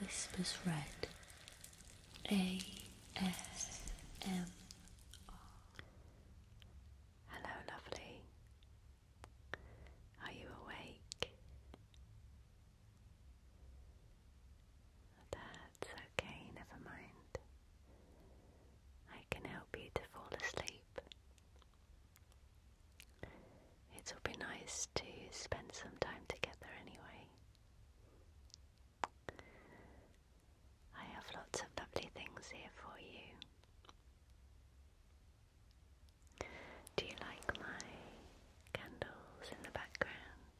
Whispers Red ASMR. Hello, lovely. Are you awake? That's okay, never mind. I can help you to fall asleep. It'll be nice to spend some time together anyway. I have lots of lovely things here for you. Do you like my candles in the background?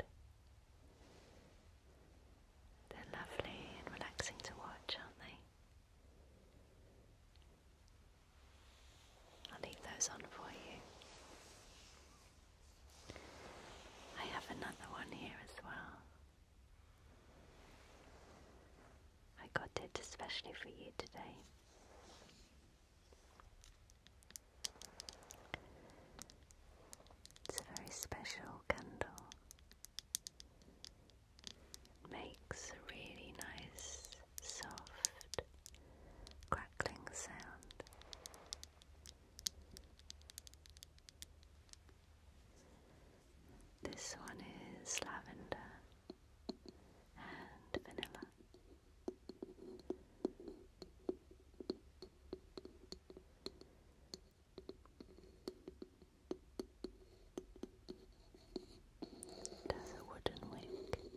They're lovely and relaxing to watch, aren't they? I'll leave those on for you. I have another one here as well. I got it especially for you today. It's a very special candle. It makes a really nice soft crackling sound. This one is lavender and vanilla. It a wooden wick.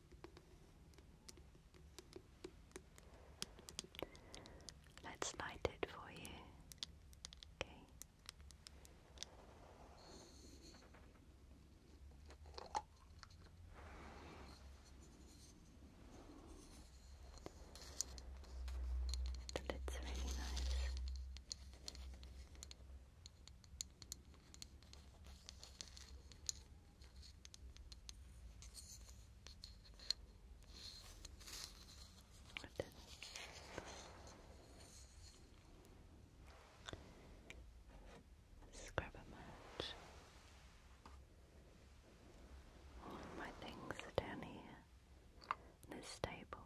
Let's light it for you. Okay. The really nice. Good. Let's grab a match. All my things are down here in this stable.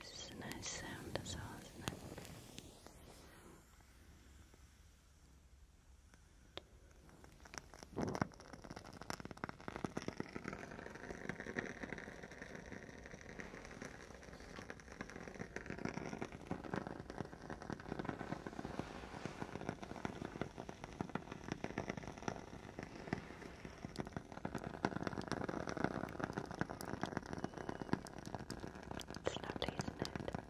This is a nice sound as well, isn't it? It's lovely, isn't it?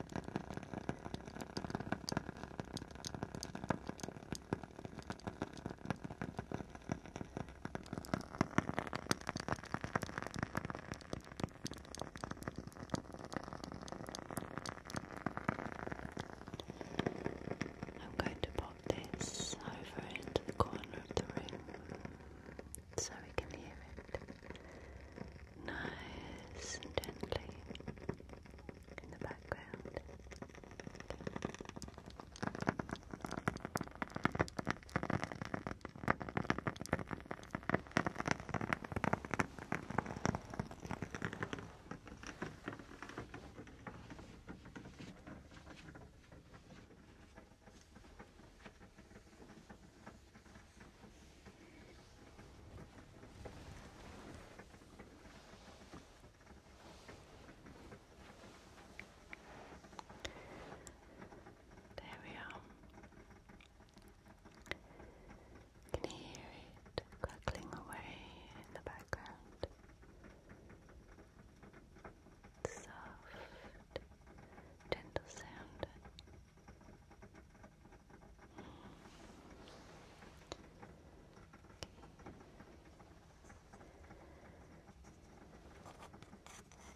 I'm going to buy move this over into the corner of the room so we can hear it nice and gently in the background. There we are. You hear it crackling away in the background soft, gentle sound.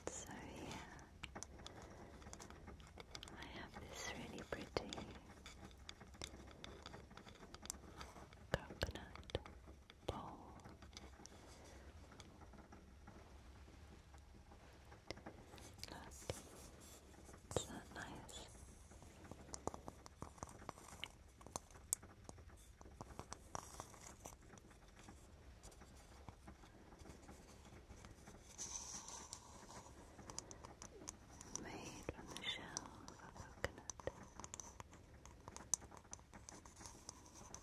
So yeah, I have this really pretty coconut bowl. Look, nice. Made from the shell of a coconut.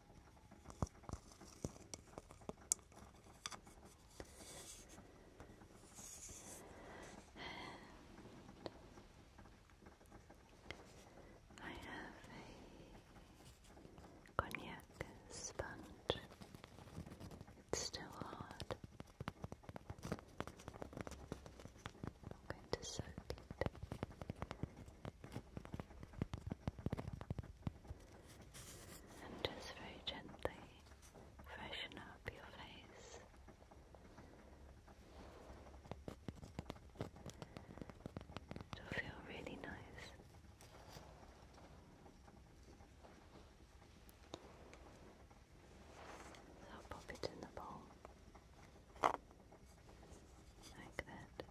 And I have a cognac sponge. It's still hard. I'm going to soak it and just very gently freshen up your face. It'll feel really nice. So pop it in the bowl like that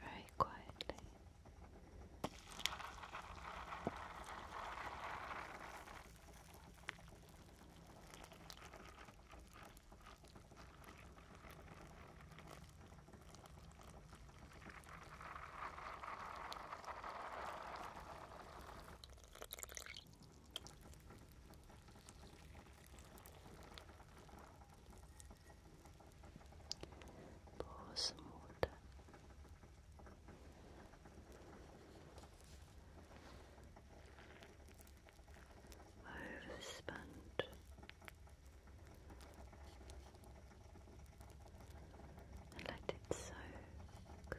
very quietly. Pour some water. And let it soak.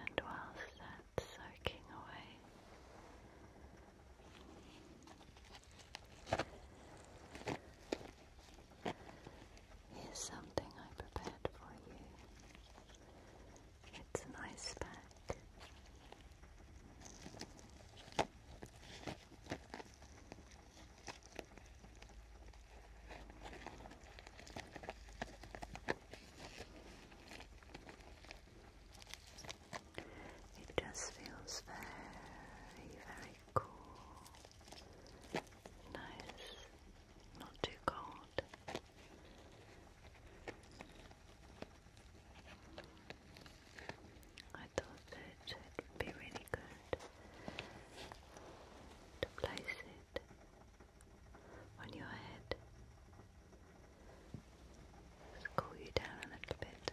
and whilst that's soaking away, here's something I prepared for you. It's an ice pack. It just feels very, very cool. Nice, not too cold. I thought that it would be really good to place it on your head. cool you down a little bit.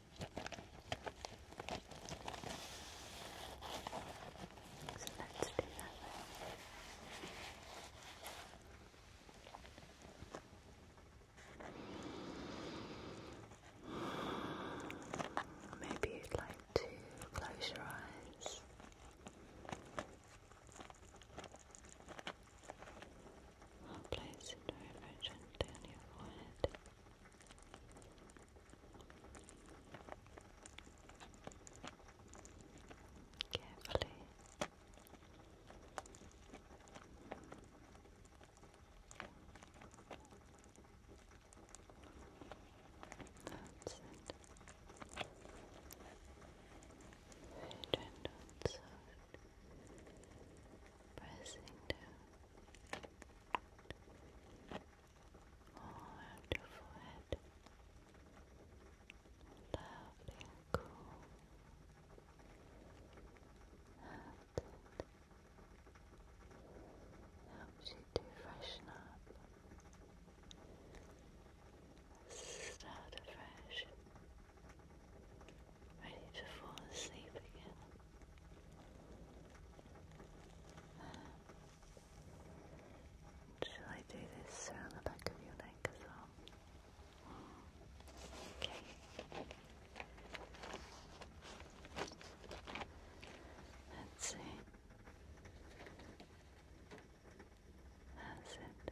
So let's do that Maybe you'd like to close your eyes. Place it very gently on your Carefully. That's Very gentle and Pressing down all around lovely cool. That's Helps you to freshen up. Start afresh ready to fall asleep again. Shall I do this around the back of your neck as well? Okay. Let's see. How's it?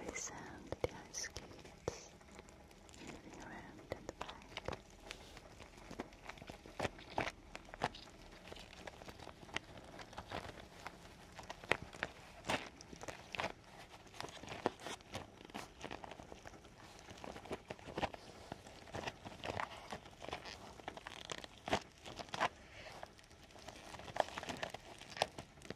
Every sound the ice skates moving around in the back. Thank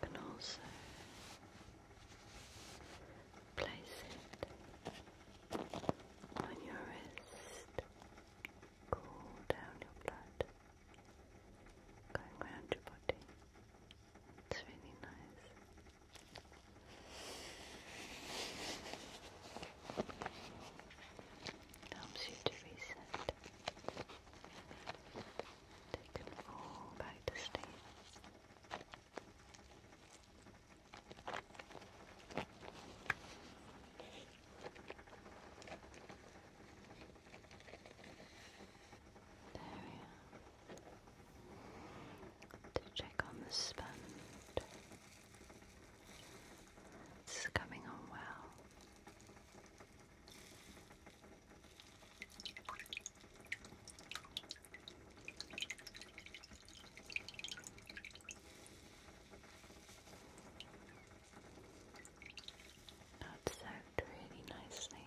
can also place it on your wrist, cool down your blood, going round your body. It's really nice. It helps you to reset. Take it all back to sleep. There we are. To check on the sponge. This is coming on well. Now soaked really nicely.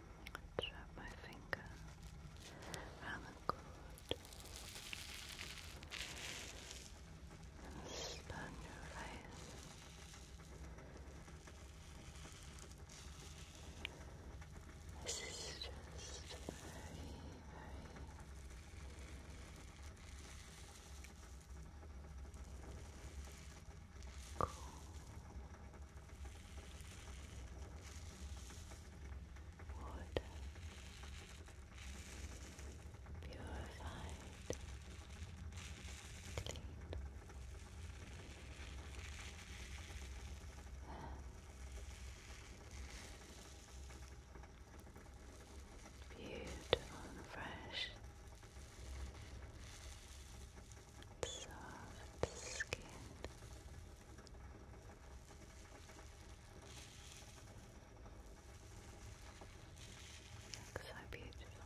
Trap my finger around the cord and spun your face. This is just very, very cool water purified, clean beautiful and fresh soft skin. so beautiful. Right.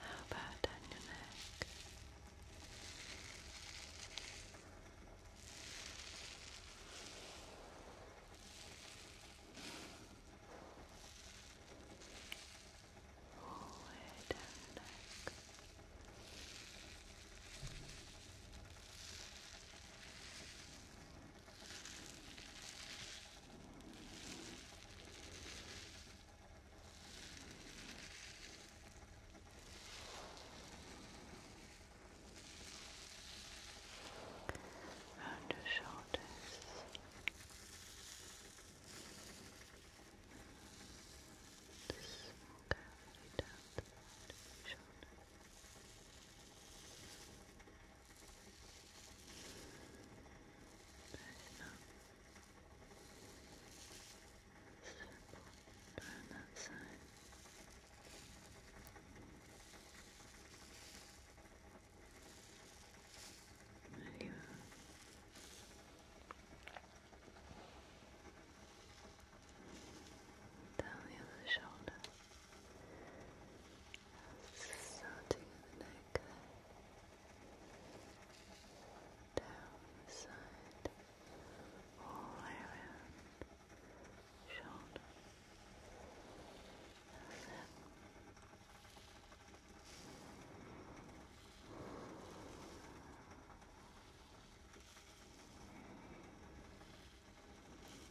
How about down your neck? forward and back. Round your shoulders. The small cavity down the side of your shoulder. Very long. Circle around that side. There you are down the other shoulder, starting at the neck, down the side, all the way around, shoulder, that's it. Now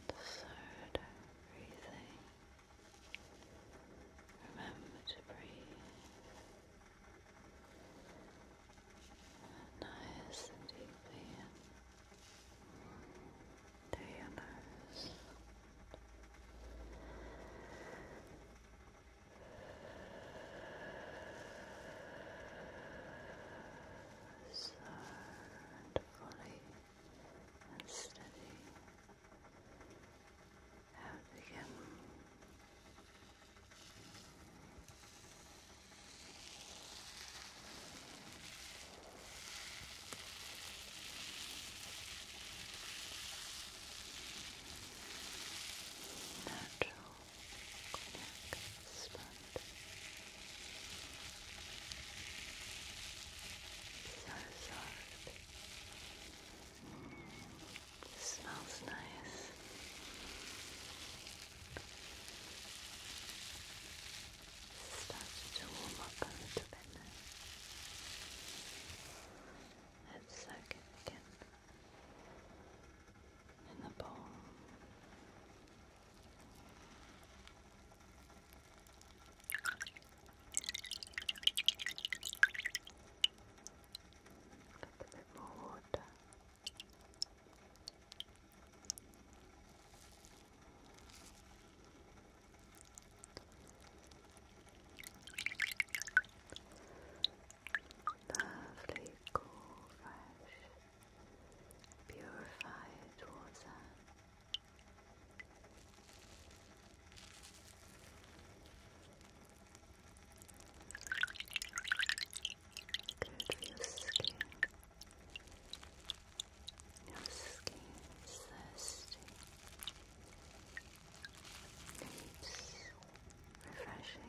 Third, breathing. Remember to breathe nice and deeply through your nose sound fully and steady out again. Natural spot. So soft. It smells nice. Starts to warm up a little bit now. Let's soak it again in the bowl. A bit water. Lovely, cool, fresh, purified water. Good skin. Your skin thirsty. Needs refreshing.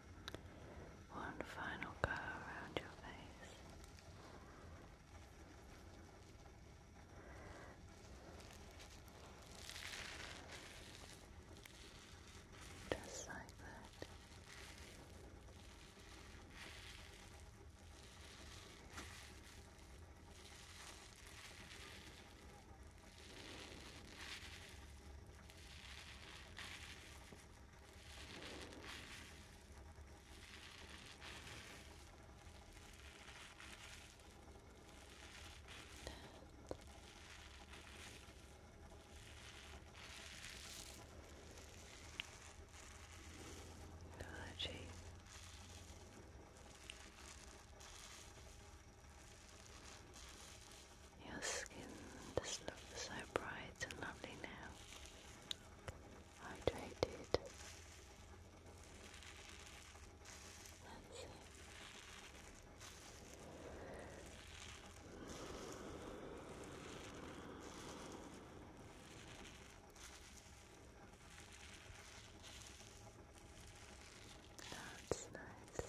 One final go around your face. Just like that. Technology your skin just looks so bright and lovely now. Hydrated. That's it. That's nice.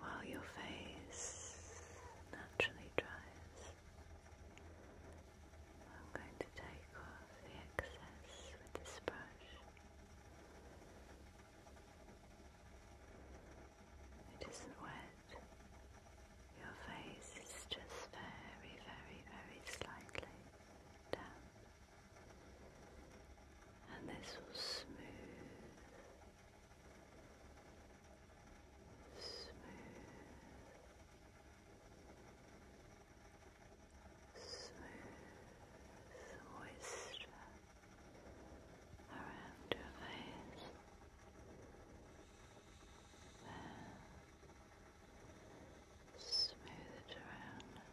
while your face naturally dries. I'm going to take off the excess with this brush. It isn't wet. Your face is just very, very, very slightly damp. And this will smooth smooth, smooth moisture around your face. There. Smooth it around. There.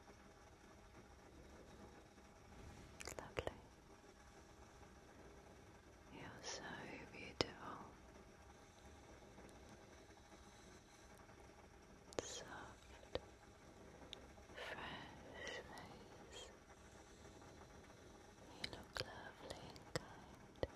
Lovely. You're so beautiful. Soft, fresh face. You look lovely and kind.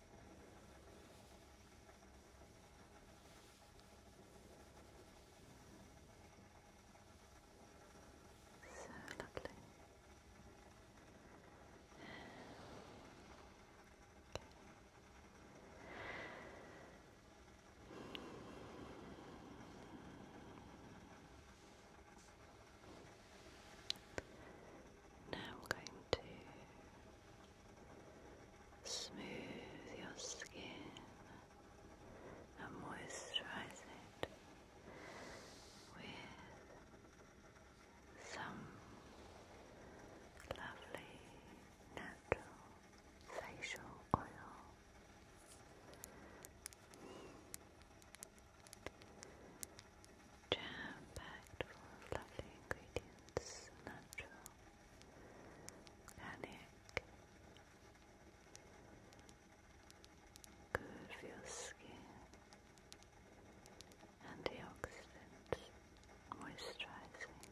So lovely. Now I'm going to Smooth your skin and moisturize it with some lovely natural facial oil. Jam packed full lovely ingredients, natural panic curve your skin antioxidants moisturizing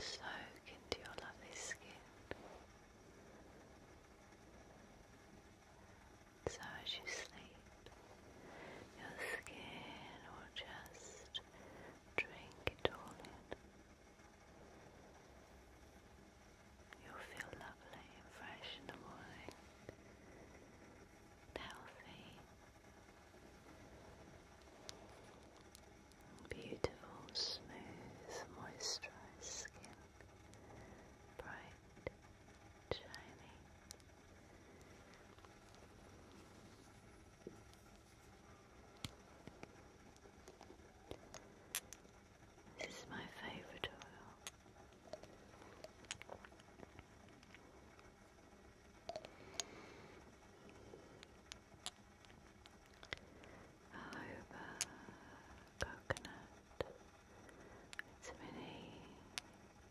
soak into your lovely skin so as you sleep, your skin will just drink it all in. You'll feel lovely and fresh in the morning, healthy, beautiful, smooth, moisturized skin, bright, shiny. This is my favorite oil. Aoba coconut. It's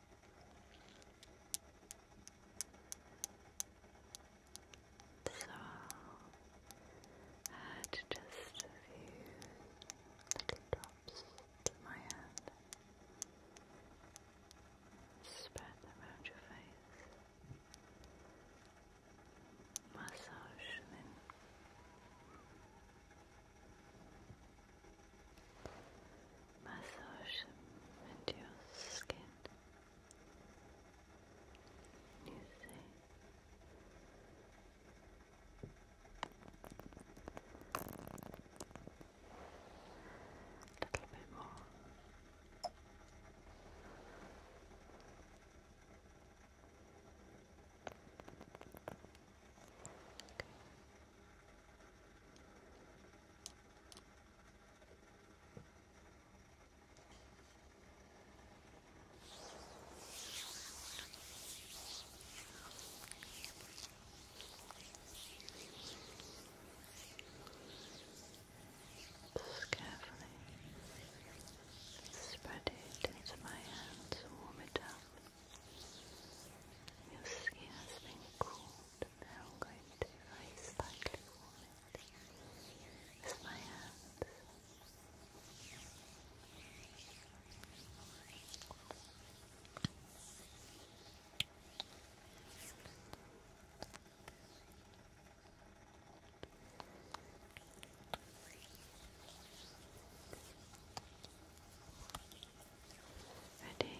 So add just a few drops to my hand. Spread them around your face. Massage them massage into your skin. You see. A little bit more. Just carefully spread it into my hands warm it up your skin has been cooled. Now I'm going to slightly warm it with my hands. Ready?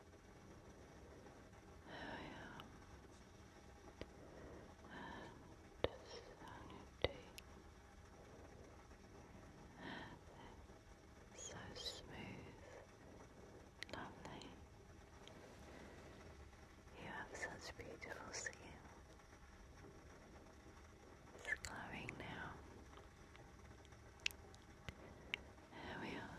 and so smooth, lovely. You have such beautiful skin. It's glowing now. There we are.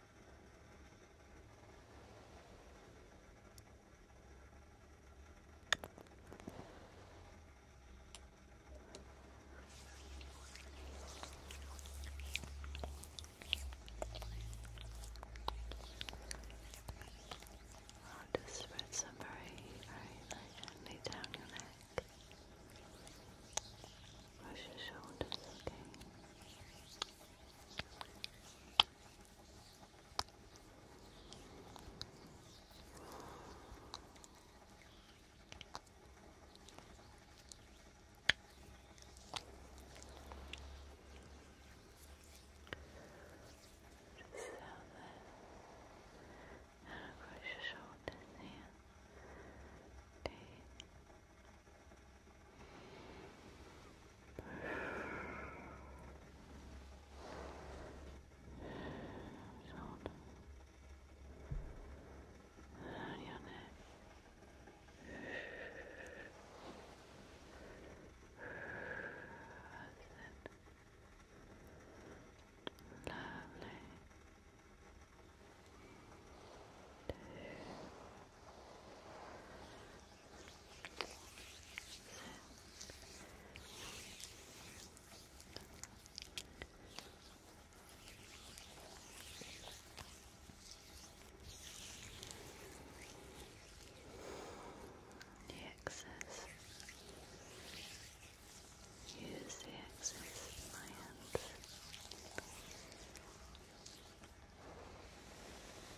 I'll just spread some very, very lightly down your neck. Brush your shoulders, okay? Just south and across your shoulders here. Okay shoulder and your neck. That's it. Lovely. The excess. Use the excess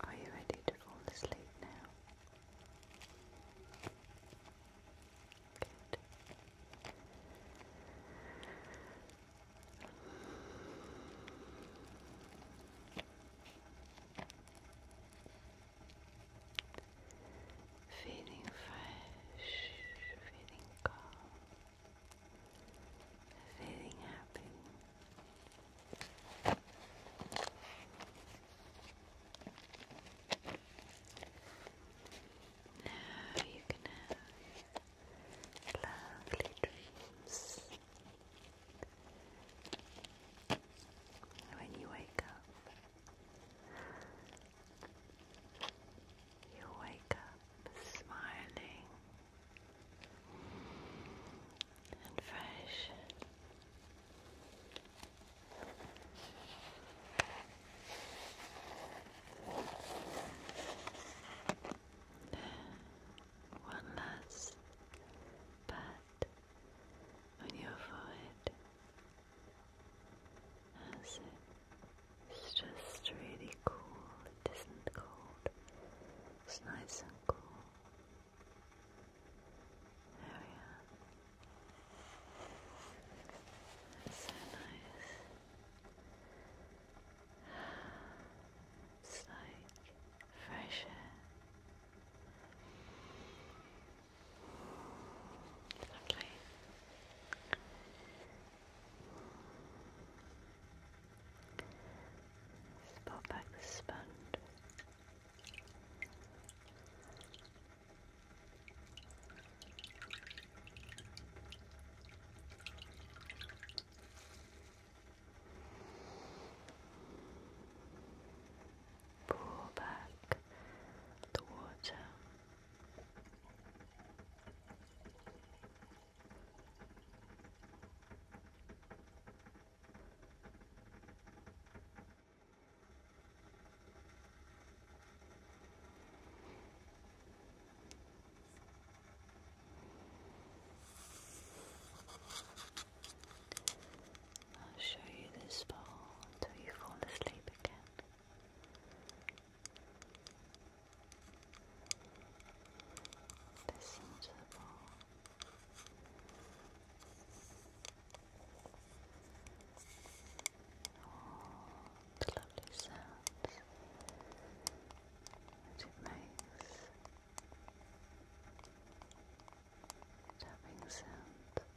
Are you ready to fall asleep now? Good feeling fresh, feeling calm, feeling happy. Now you can have lovely dreams. When you wake up, you wake up smiling and fresh. One last pat on your forehead as it's just really cool. It isn't cold. It's nice and cool. There we are. so nice. It's like fresh Lovely. let pop back the sponge. Pour back the water I'll show you this bowl until you fall asleep again. Listen to lovely sounds that it makes. Tapping sound.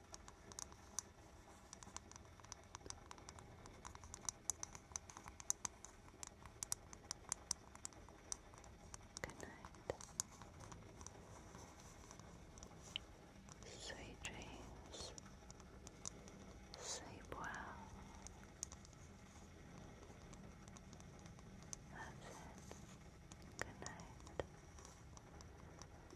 Good night. Sweet dreams. Sleep well. That's it. Good night.